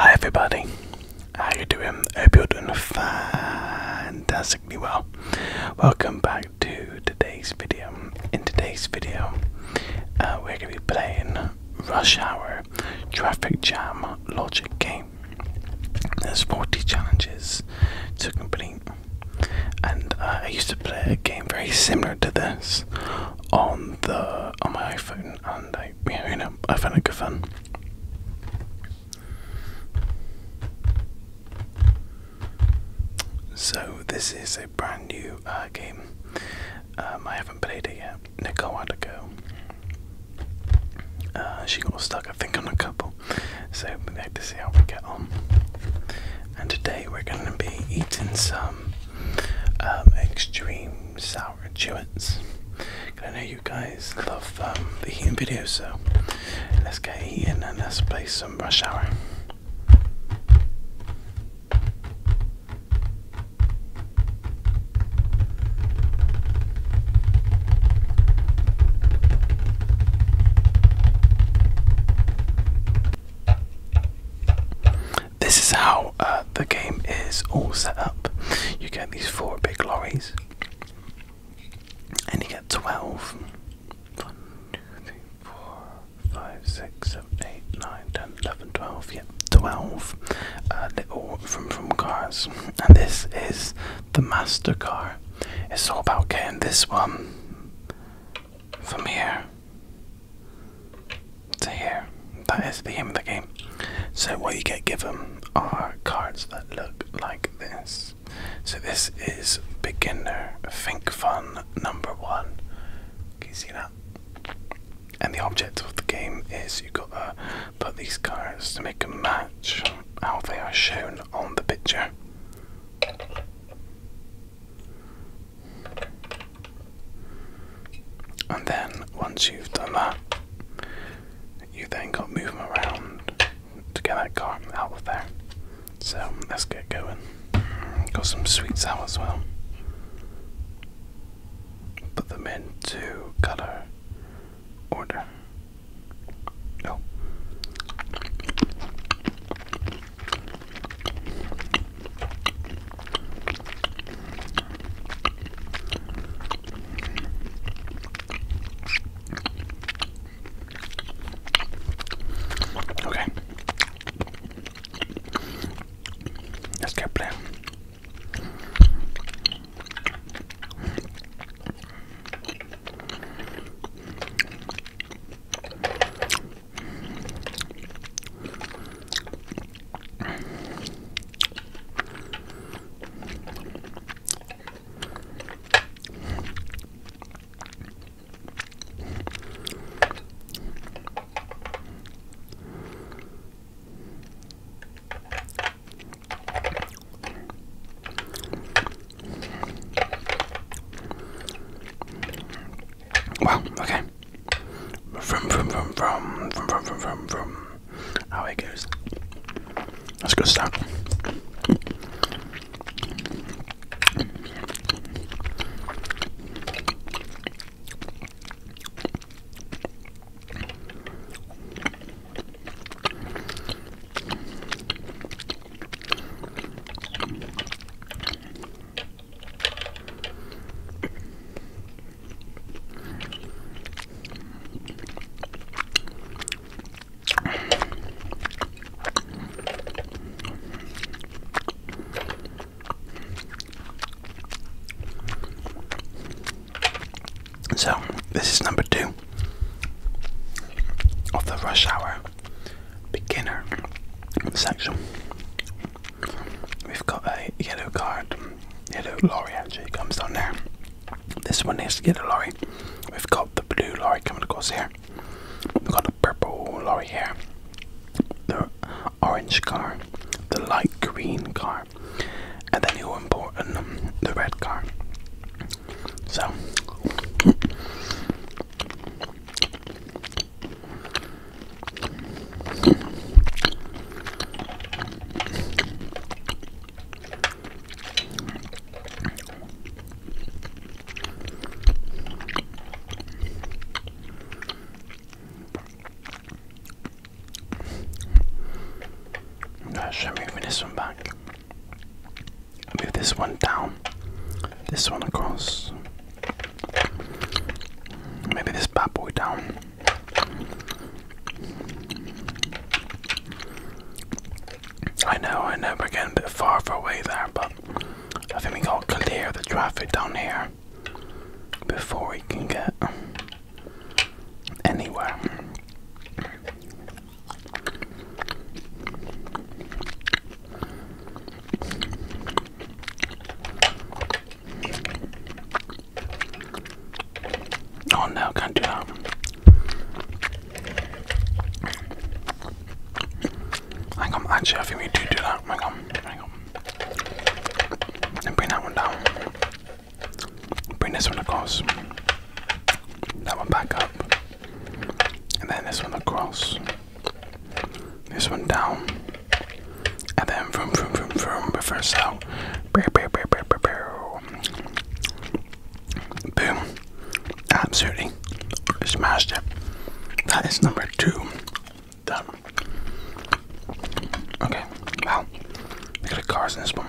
Hi everybody, how you doing? I hope you're doing fantastically well. Welcome back to today's video. In today's video, uh, we're going to be playing Rush Hour Traffic Jam Logic Game. There's 40 challenges to complete, and uh, I used to play a game very similar to this on the on my iPhone, and I I, you know, I found it good fun. So this is a brand new uh, game. Um, I haven't played it yet. Nicole had to go. Uh, she got stuck, I think, on a couple. So we had to see how we get on. And today we're going to be eating some um, extreme sour chewits. I know you guys love um, the eating videos, so let's get eating and let's play some Rush Hour. This is how uh, the game is all set up. You get these four big lorries, and you get 12. 1, 11, 12. Yep, yeah, 12 uh, little from from cars. And this is the master car. It's all about getting this one from here so here, that is the aim of the game. So what you get given are cards that look like this. So this is beginner think fun number one. Can you see that? And the object of the game is you have gotta put these cards to make a match how they are shown on the picture. And then once you've done that, you then got to move them around to get that car out of there. So let's get going. Got some sweets out as well. Put them into color order. Oh. Okay. Let's get playing. Wow, okay. Vroom, vroom, vroom, vroom, vroom, vroom, vroom, vroom, How it goes. That's good stuff. So, this is number two of the rush hour beginner section. We've got a yellow card, yellow lorry actually comes down there. This one needs to get a lorry. We've got the blue lorry coming across here. We've got the purple lorry here. The orange car, the light green car, and then you're important um, the red car. So Gosh, I'm moving this one back. move this one down, this one across, Maybe this bad boy down. I know, I never get a bit far, far away there, but I think we got to clear the traffic down here before we can get anywhere. Oh no, can't do that. Hang on, actually, I think we do do that. Hang on, hang on. And bring that one down. Bring this one across. That one back up. And then this one across. This one down. And then vroom vroom vroom vroom reverse out. Boom. Absolutely smashed it. That is number two. Done. Okay, wow. Look at the cars in this one.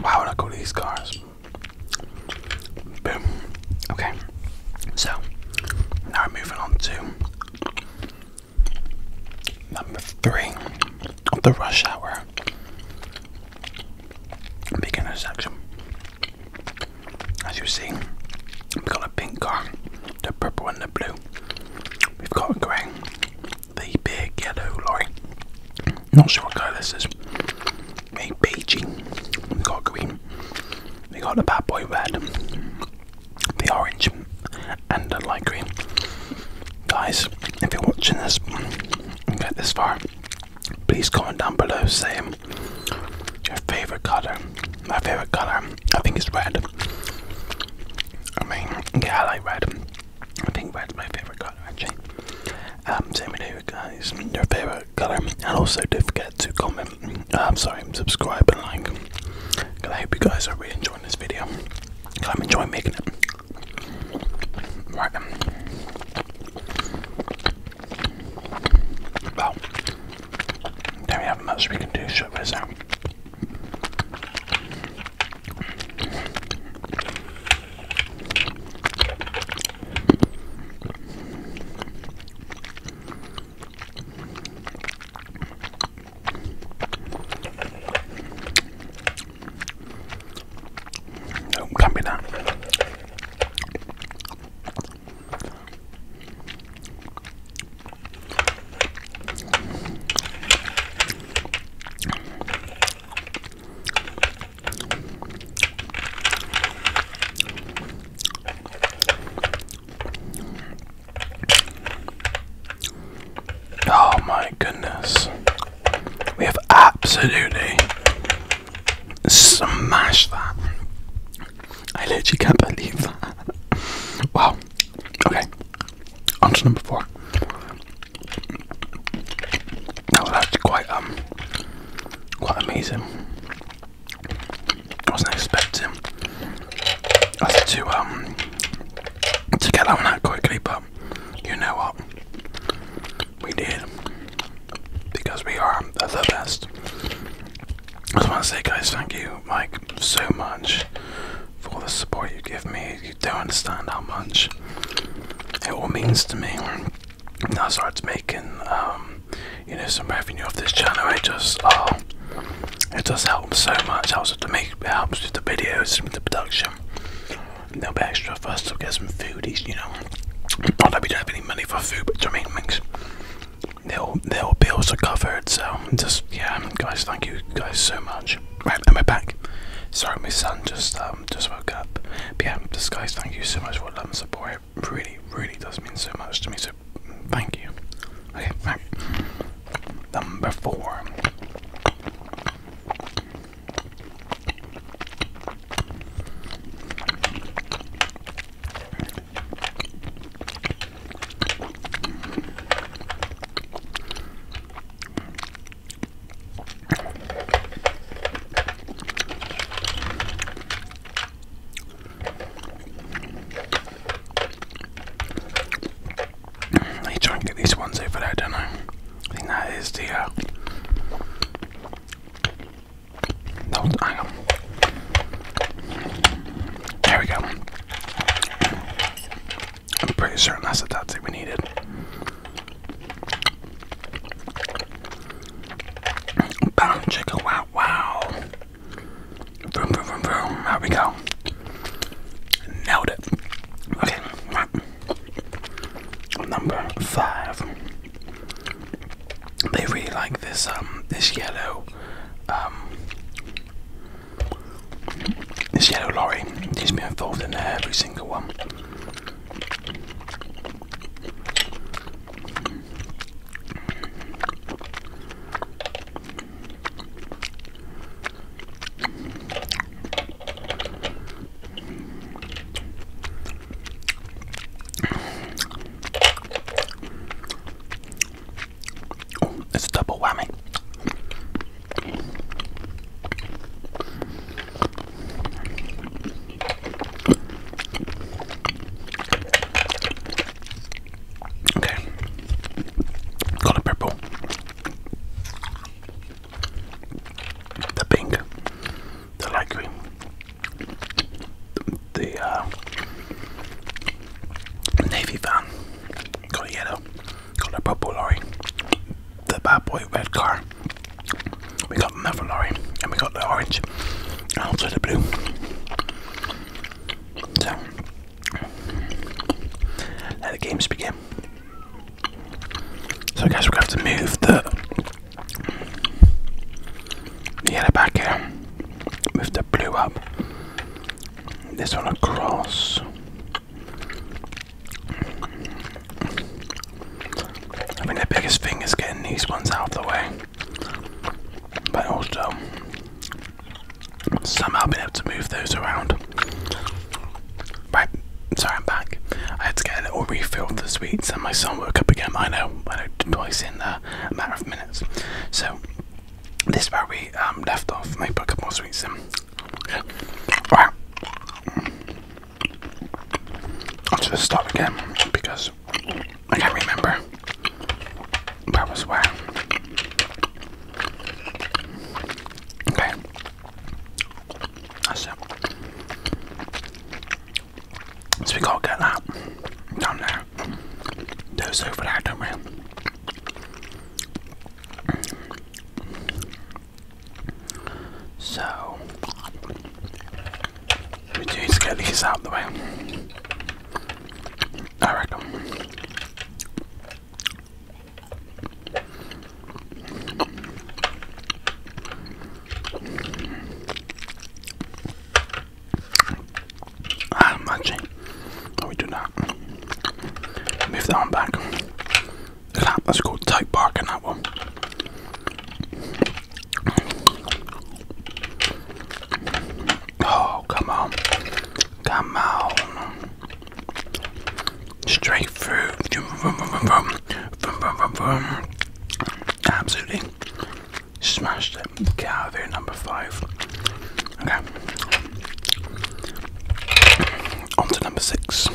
Why would I go to these cars? Okay. So now we're moving on to number three of the rush hour beginner section. As you see, we've got a pink car, the purple and the blue. We've got a grey, the big yellow lorry. Not sure what colour this is. A beigey. We've got green. We got the bad boy red, the orange, and the light green. Guys, if you're watching this and get this far, please comment down below Say. Your favorite color? My favorite color, I think, it's red. I mean, yeah, I like red. I think red's my favorite color, actually. Um, same with you guys, your favorite color, and also don't forget to comment. I'm um, sorry, subscribe and like. Cause I hope you guys are really enjoying this video. Cause I'm enjoying making it. Right. Well, there we have much we can do, shut this out. Oh, Oh my goodness. We have absolutely Smash that. I literally can't believe that. wow. Okay. onto number four. That was actually quite um quite amazing. I wasn't expecting us to um to get that one out quickly, but you know what? We did. Because we are the best. I just want to say, guys, thank you, Mike, so much for the support you give me. You don't understand how much it all means to me. Now I started making, um, you know, some revenue off this channel. It just, oh, it just helps so much. It helps to make, it helps with the videos, with the production. No will be extra for to get some food, you know. I that we don't have any money for food, but I mean, makes their their bills are covered. So just yeah, guys, thank you guys so much. Right, and we're back. Sorry, my son just um just woke up. But yeah, just guys, thank you so much for love and support. It really, really does mean so much to me. So thank you. Okay, number four. I try and get these ones over there, don't I? I think that is the uh, there we go. I'm pretty certain that's the tattoo we needed. wow, wow. Vroom, vroom, vroom, vroom. There we go. Nailed it. Okay, Number five. They really like this um this yellow um this yellow lorry. She's been involved in every single one it's double whammy. Okay, got purple, the pink, the light green, the uh, navy van, got a yellow, got a purple lorry, the bad boy red car, we got another lorry, and we got the orange, and also the blue. So, let the games begin. So I guess we're going to have to move the Get it back here with the blue up. This one across. I mean, the biggest thing is getting these ones out of the way, but also somehow being able to move those around. Right, sorry, I'm back. I had to get a little refill the sweets, and my son woke up again. I know, I know, twice in a matter of minutes. So, this is where we um, left off, Maybe put a couple more sweets in. Okay. I'll just stop again because I can't remember where was where. Okay. That's it. So we gotta get that down there. Those for that, don't we? So we do need to get these out of the way. I reckon. Ah, matching. No, we do not. Move that one back. That, let's go tight bark in that one. Oh, come on. Come on. Straight through. Absolutely smashed it. Get out of here, number five. Okay. On to number six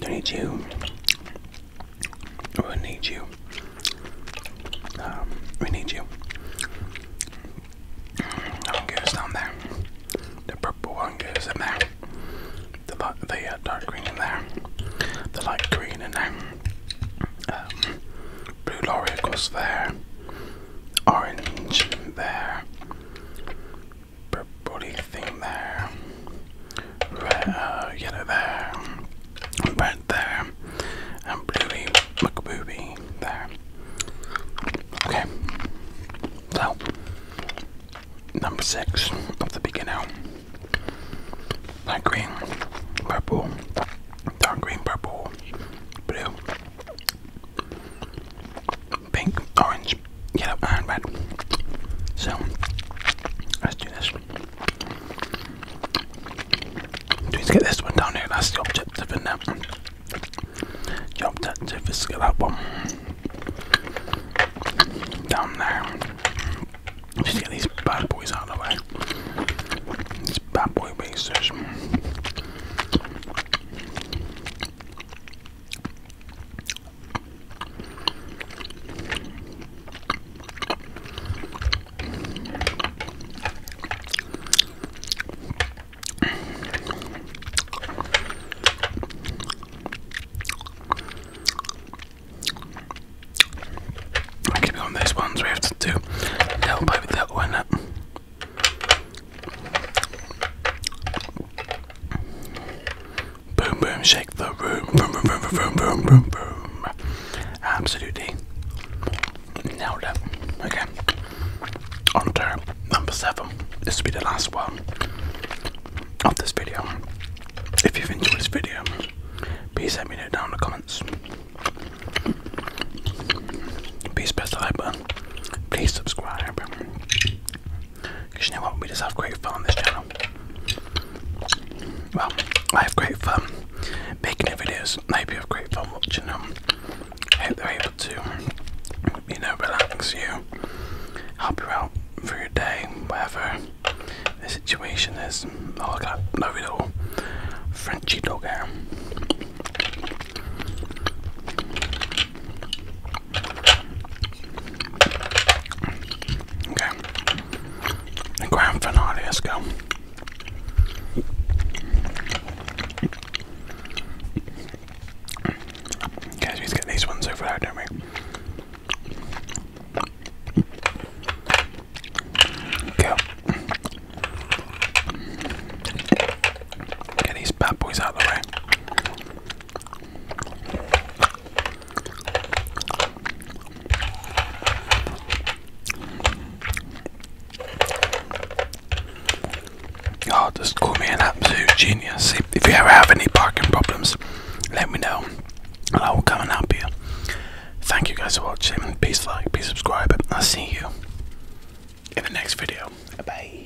do need you. Oh, um, we need you. we need you. That one down there. The purple one goes in there. The, the uh, dark green in there. The light green in there. Um, blue lorry goes there. Orange there purpley thing there, red, uh, yellow there, red there, and bluey McBooby there. Okay, so number six of the beginner light green, purple, dark green, purple, blue pink, orange, yellow, and red. So let's do this. Let's get this one down here. That's the objective, jump that the objective is to get that one down there. Just get these bad boys out of the way. These bad boy basers keep on these ones, we have to do little that one, up. Boom, boom, shake the room. Boom, boom, boom, boom, boom, boom, boom. Absolutely. Nailed it. Okay. On to number seven. This will be the last one of this video. If you've enjoyed this video, please let me know down in the comments. Please press the like button. Please subscribe. Because you know what? We just have great fun on this channel. Well, I have great fun making the videos. I hope you have great fun watching them. I hope they're able to, you know, relax you, help you out for your day, whatever the situation is. Oh, look at that lovely little Frenchy dog there. Okay. The grand finale, let's go. Guys, we just get these ones over there, don't we? Go. Get these bad boys out of the way. God, oh, just call me an absolute genius. If you ever have any parking problems, let me know and I will come and help you. Thank you guys for watching. Peace, like, please subscribe, and I'll see you in the next video. Bye.